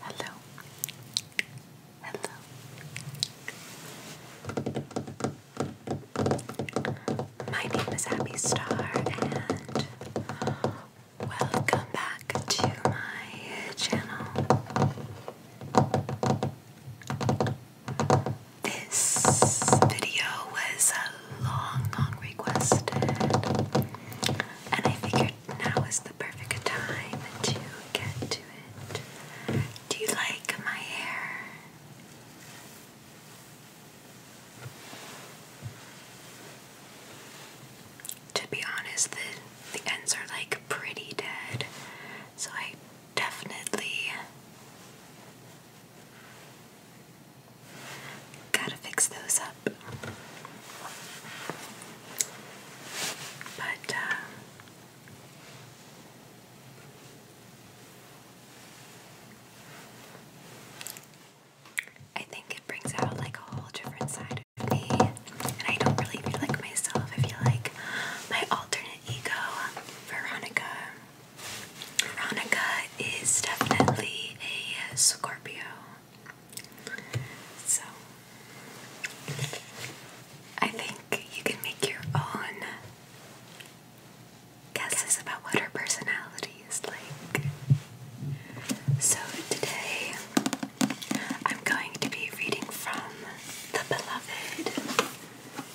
Hello. Hello. My name is Abby Star and welcome back to my channel. This video was a long, long requested, and I figured now is the perfect time to get to it. Do you like my hair? To be honest, the, the ends are like pretty dead, so I definitely Gotta fix those up. But, uh, I think it brings out like a whole different side of me, and I don't really feel like myself. I feel like my alternate ego, Veronica. Veronica is definitely a Scorpio. So I think you can make your own guesses about what her personality is like. So today I'm going to be reading from The Beloved,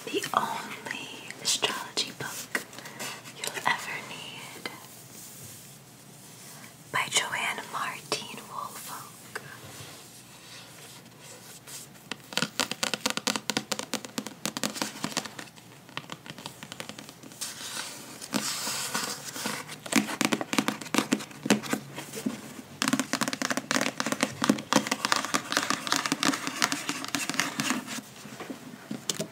the only astrology book you'll ever need by Joanne Martin Wolf.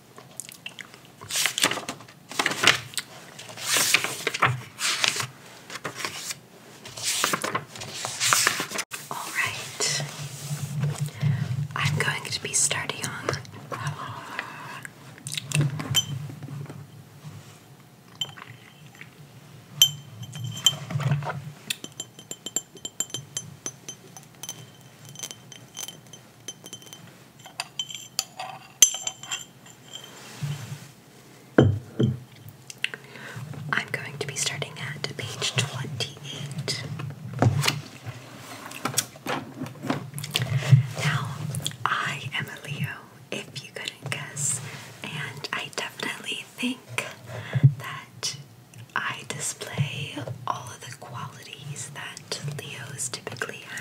All right, I'm going to be starting on. I'm going to be starting at page 28. Now, I am a Leo, if you couldn't guess, and I definitely think that I display all of the qualities that Leos typically have.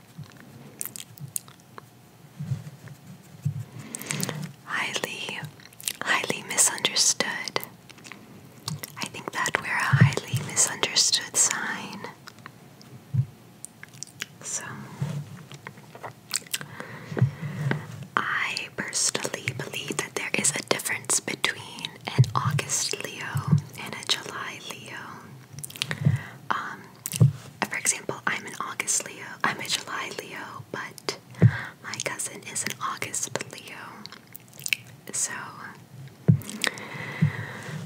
Highly, highly misunderstood. I think that we're a highly misunderstood sign. So, I personally believe that there is a difference between an August Leo and a July Leo. Um, for example, I'm an August Leo, I'm a July Leo, but my cousin is an August Leo. So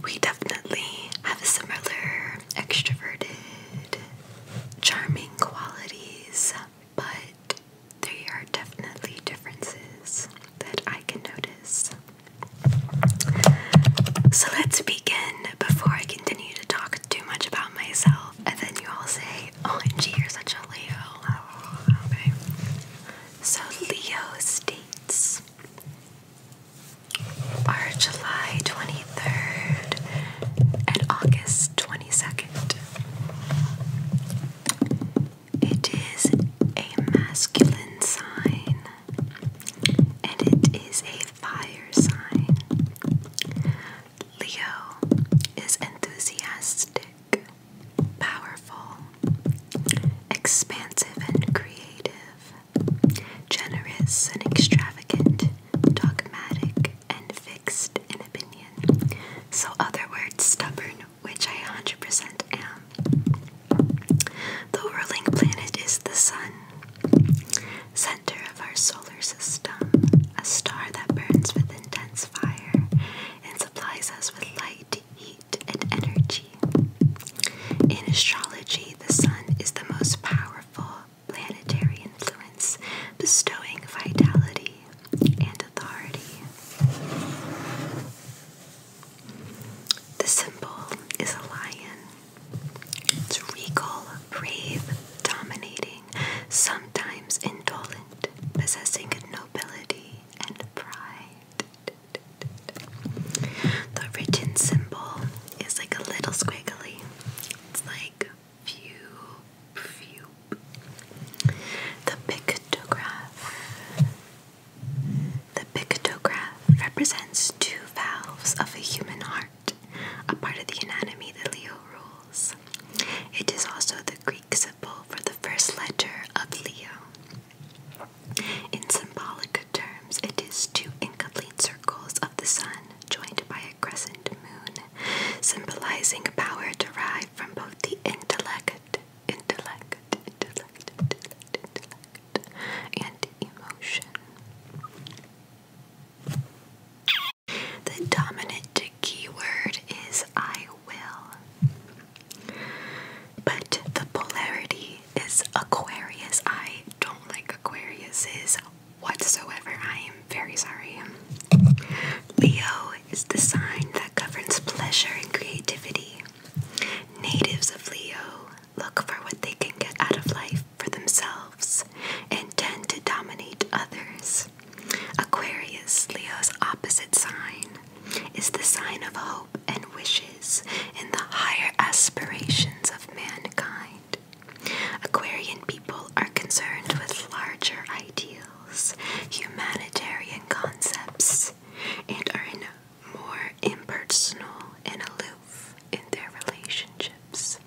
we definitely have similar extroverted, charming qualities, but there are definitely differences that I can notice. So let's begin before I continue to talk too much about myself, and then you all say, "Oh, gee, you're such a Leo. Oh, okay. So Leo states are July 23rd and August 22nd. It is a masculine sign and it is a fire sign. Leo is enthusiastic, powerful, expansive, and creative, generous and extravagant, dogmatic and fixed in opinion. So, other words, stubborn which I 100% am. The whirling planet is the sun, center of our solar system, a star that burns with intense fire and supplies us with light, heat, and energy. In astrology, the sun is the most powerful planetary influence, bestowing vitality and authority. The symbol is a lion. It's regal, brave, dominating, sometimes indolent, possessing nobility and pride. The written symbol is like a little squiggly. It's like few, few. The pictograph the pictograph represents two valves of a human heart, a part of the anatomy that Leo rules. It is also the Greek symbol for the first letter of Leo. In symbolic terms, it is two incomplete circles of the sun joined by a crescent moon, symbolizing power derived from both the intellect intellect, intellect, intellect, intellect, and emotion. The dominant keyword is I will. But the polarity is Aquarius. I don't like Aquariuses whatsoever. I am very sorry. Leo is the sign that governs pleasure and creativity. Natives of Leo look for what they can get out of life for themselves and tend to dominate others. Aquarius, Leo's opposite sign, is the sign of hope and wishes in the higher aspirations of mankind. Aquarian people are concerned with larger ideals humanitarian concepts, and are more impersonal and aloof in their relationships.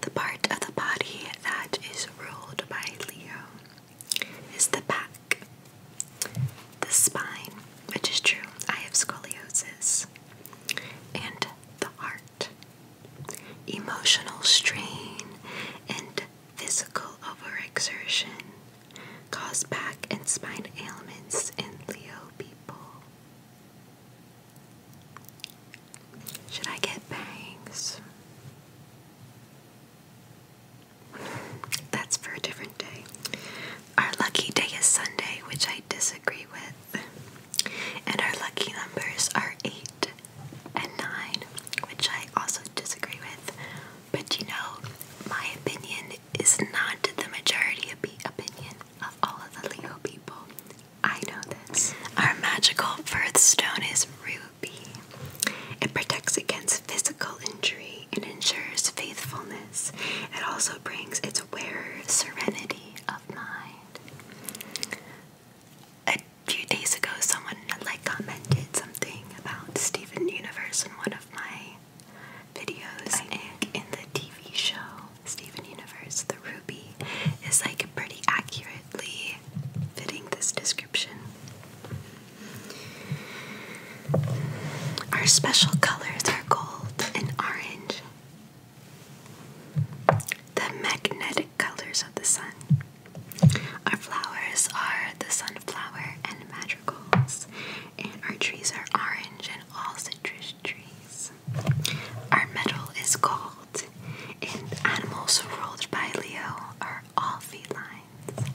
The part of the body that is ruled by Leo is the back, the spine, which is true, I have scoliosis, and the heart. Emotional strain and Physical overexertion cause back and spine ailments in Leo people. Should I get bangs? That's for a different day. Our lucky day is Sunday, which I disagree with. And our lucky numbers are 8, and 9, which I also disagree with. But you know, my opinion is not the majority of the opinion of all of the Leo people. I know this. Our magical birthstone is ruby. It protects against physical injury and ensures faithfulness. It also brings its wearer serenity of mind. A a few days ago someone like commented something about Steven Universe in one of my videos and in the TV show Steven Universe the ruby is like pretty accurately fitting this description. Our special colors are gold and orange. The magnetic colors of the sun. Our flowers are the sunflower and madrigals, and our trees are orange and all citrus trees. Our metal is gold, and animals ruled by Leo are all felines.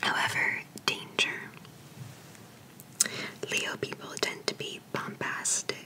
However, danger. Leo people tend to be bombastic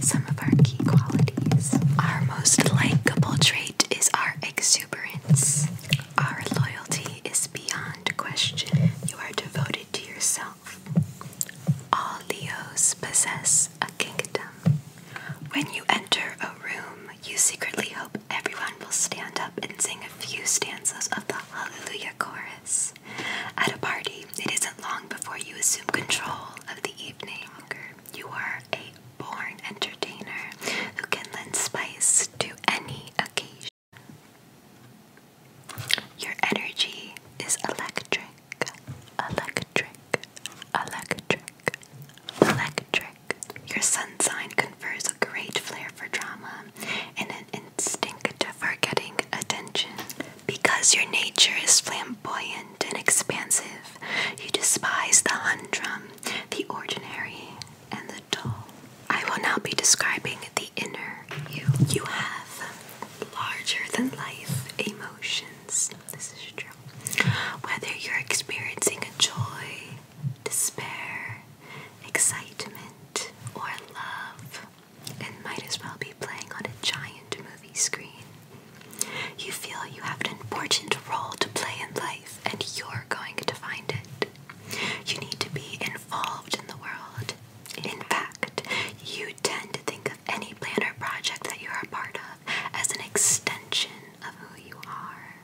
some of our key qualities. Our most likable trait is our exuberance. Our loyalty is beyond question. You are devoted to yourself. All Leos possess a kingdom. When you enter a room, you secretly hope everyone will stand up and sing a few stanzas of the Hallelujah Chorus. At a party, it isn't long before you assume control of the evening. You are a born entertainer who can lend spice to any occasion. Your energy is electric, electric, electric, electric. Your sun sign confers a great flair for drama and an instinctive for getting attention. Because your nature is flamboyant and expansive, you despise the humdrum, the ordinary, and the dull. I will now be describing the inner you. You have larger than life emotions. This is true. Whether you're experiencing a joy, despair, excitement, or love, and might as well be playing on a giant movie screen. You feel you have an important role to play in life, and you're going to find it. You need to be involved in the world. In fact, you tend to think of any plan or project that you're a part of as an extension of who you are.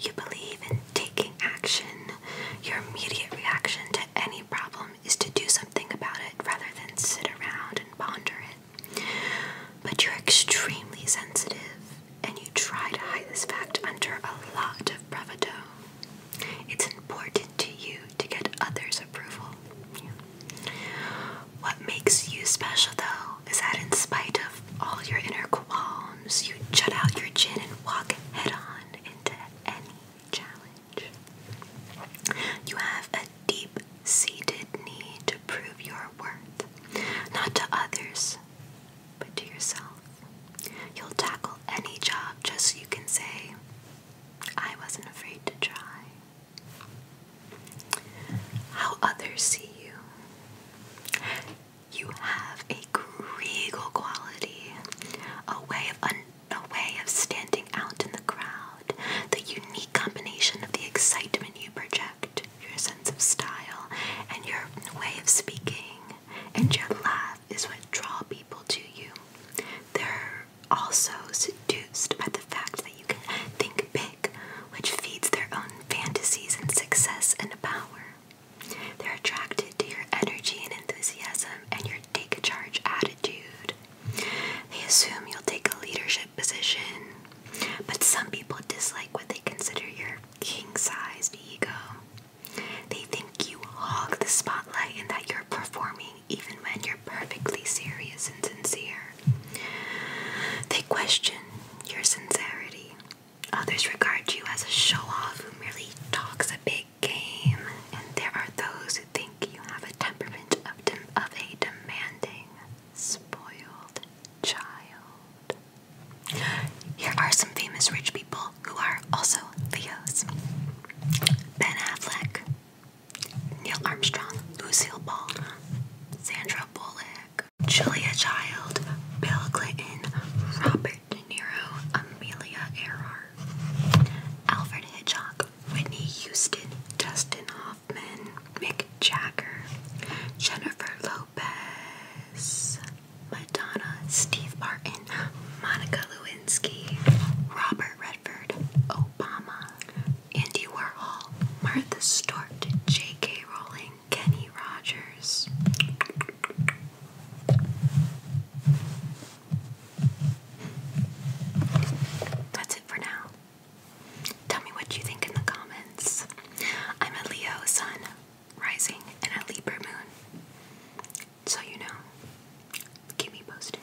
You believe in taking action. Your immediate reaction to any problem is to do something about it rather than sit around and ponder it. But you're extremely sensitive, and you try to hide this fact under a lot of bravado. It's important to you to get others' approval. What makes you special, though, is that in spite of all your inner qualms, you jut out your chin and walk head on into any challenge. You have a deep seated need to prove your worth, not to others, but to yourself. You'll tackle any job just so you can say, I wasn't afraid to try. How others see you. You have a a regal quality, a way of a way of standing out in the crowd, the unique combination of the excitement you project, your sense of style, and your way of speaking, and your laugh is what draw people to you. They're also seduced by the fact that you can think big, which feeds their own fantasies and success and power. They're attracted to your energy and enthusiasm and your take charge attitude. They assume you'll take a leadership position, but some people dislike what they consider your king sized ego. They think you hog the spotlight and that you're performing even when you're perfectly serious and sincere. They question your sincerity. Others regard you as a show off who merely talks a big game, and there are those who think you have a temperament of, a demanding, spoiled child. Here are some famous rich people who are also Leos Ben Affleck, Neil Armstrong, Lucille Ball, Sandra Bullock, Julia Child, Bill Clinton, Robert De Amelia Earhart, Alfred Hitchcock, Whitney Houston, Dustin Hoffman, Mick Jagger, Jennifer Lopez, Madonna, Steve Martin, Monica Lewinsky, Robert Redford, Obama, Andy Warhol, Martha Stewart, J.K. Rowling, Kenny Rogers. That's it for now. Tell me what you think in the comments. I'm a Leo sun rising and a Libra moon. So you know, keep me posted.